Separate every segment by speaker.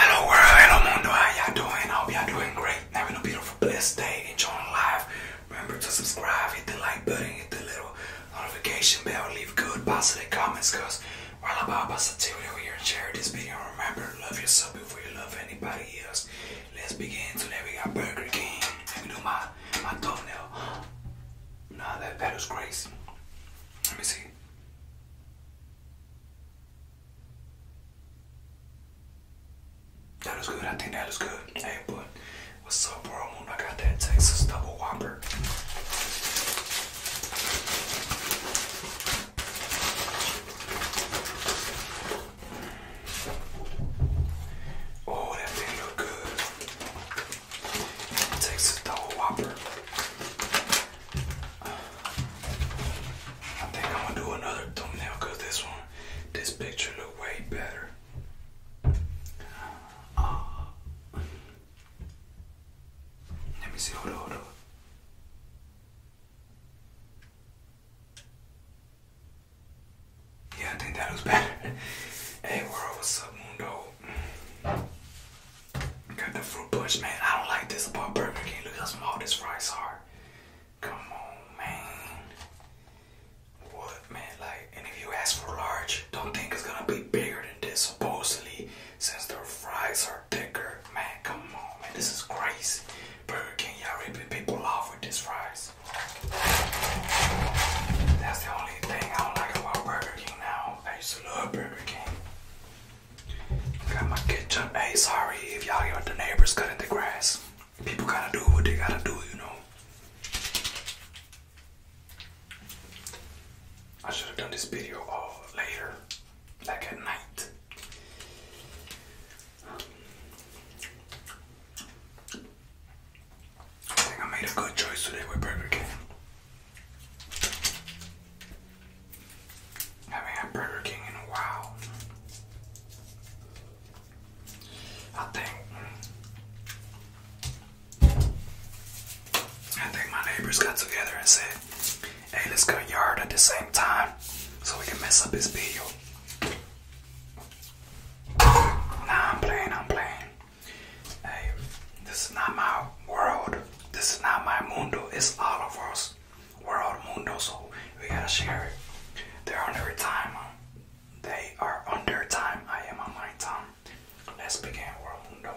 Speaker 1: Hello world, hello mundo, how y'all doing? I hope y'all doing great. Have a beautiful, blessed day, enjoying life. Remember to subscribe, hit the like button, hit the little notification bell, leave good positive comments because we're all about positivity over here. to Share this video remember love yourself before you love anybody else. Let's begin. Today we got Burger King. Let me do my, my thumbnail. Nah, that, that was crazy. Let me see. That was good. I think that was good. Hey, but what's up, bro? I got that Texas double whopper. Oh, that thing look good. Texas double whopper. I think I'm gonna do another thumbnail this one, this picture look way better. Uh, let me see, hold on, hold Yeah, I think that was better. hey world, what's up, Mundo? Got the fruit punch, man. I don't like this about Burger King. Look how small these fries are. Come on, man. What, man? Like, and if you ask for large, don't think it's gonna be bigger than this, supposedly, since their fries are thicker. Man, come on, man. This is crazy. Burger King, y'all ripping people off with these fries. That's the only thing I don't like about Burger King now. I used to love Burger King. Got my kitchen. Hey, sorry if y'all hear the neighbors cutting the grass. People gotta do what they gotta do, you know. I should have done this video all later, like at night. I think I made a good choice today with Burger King. I haven't had Burger King in a while. I think. I think my neighbors got together and said, hey, let's go yard at the same time so we can mess up his bill." Nah, I'm playing, I'm playing. Hey, this is not my world. This is not my mundo, it's all of us. We're all mundo, so we gotta share it. They're on their time. They are under time. I am on my time. Let's begin world mundo.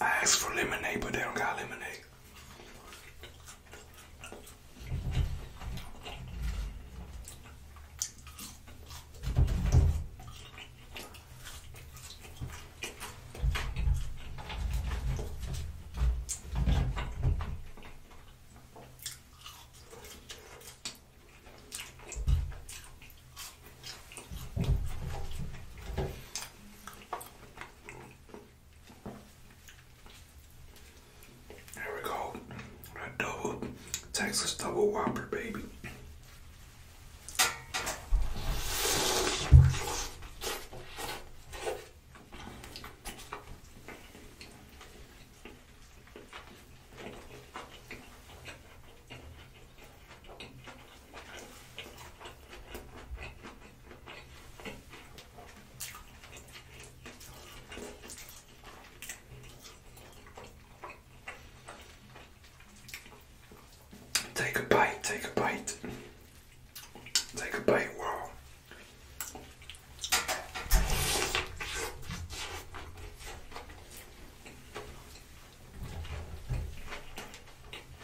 Speaker 1: I asked for lemonade, but they don't got lemonade. There we go. That double Texas double whopper, baby. Take a bite, take a bite. Take a bite, wow.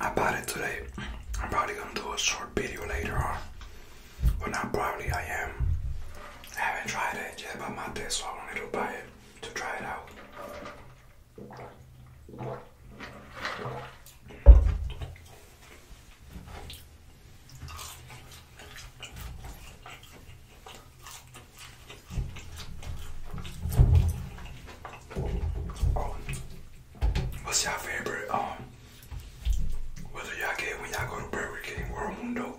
Speaker 1: I bought it today. I'm probably gonna do a short video later on. But not probably, I am. I haven't tried it yet, but my taste, so I wanted to buy it to try it out. What's y'all favorite? Um, whether y'all get when y'all go to Burger King or Mundo.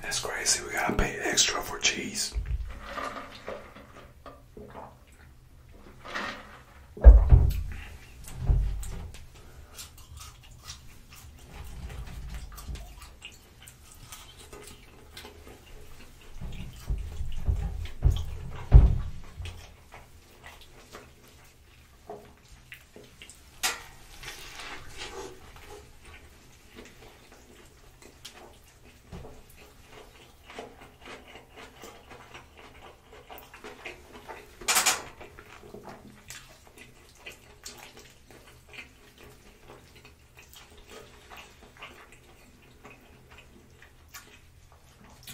Speaker 1: That's crazy. We gotta pay extra for cheese.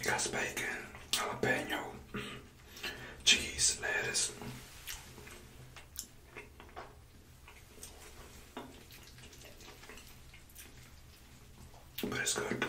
Speaker 1: Got bacon, jalapeno, cheese, lettuce. But it's good though.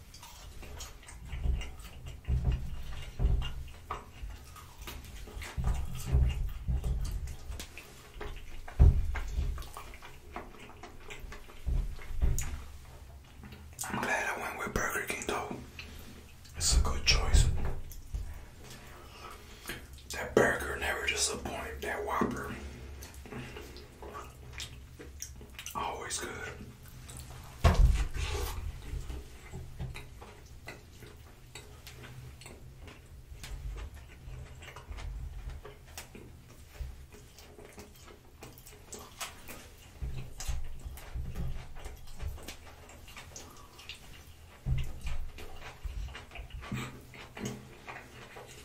Speaker 1: I'm glad I went with Burger King though. It's a good choice. That burger never disappoints, that Whopper. Always good.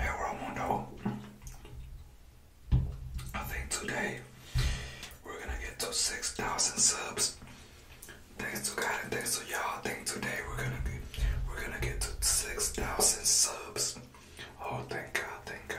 Speaker 1: Hey Romundo, I think today we're gonna get to 6,000 subs Thanks to God and thanks to y'all. I think today we're gonna get, we're gonna get to six thousand subs. Oh, thank God! Thank God.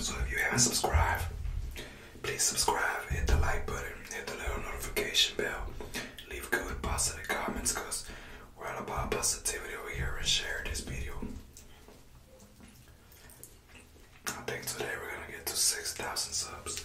Speaker 1: So if you haven't subscribed, please subscribe, hit the like button, hit the little notification bell, leave good positive comments because we're all about positivity over here and share this video. I think today we're gonna get to 6,000 subs.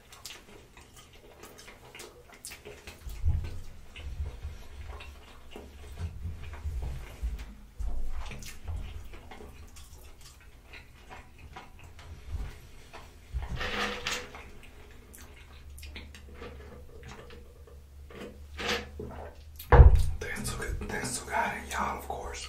Speaker 1: Thanks to God and y'all, of course.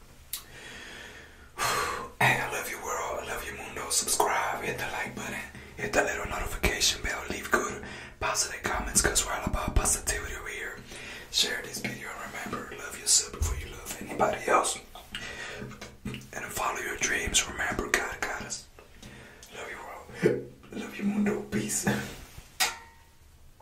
Speaker 1: I love you world, I love you mundo. Subscribe, hit the like button, hit that little notification bell, leave good positive comments because we're all about positivity over here. Share this video and remember, love yourself before you love anybody else. And follow your dreams. Remember, God got us. Love you world. Love you mundo. Peace.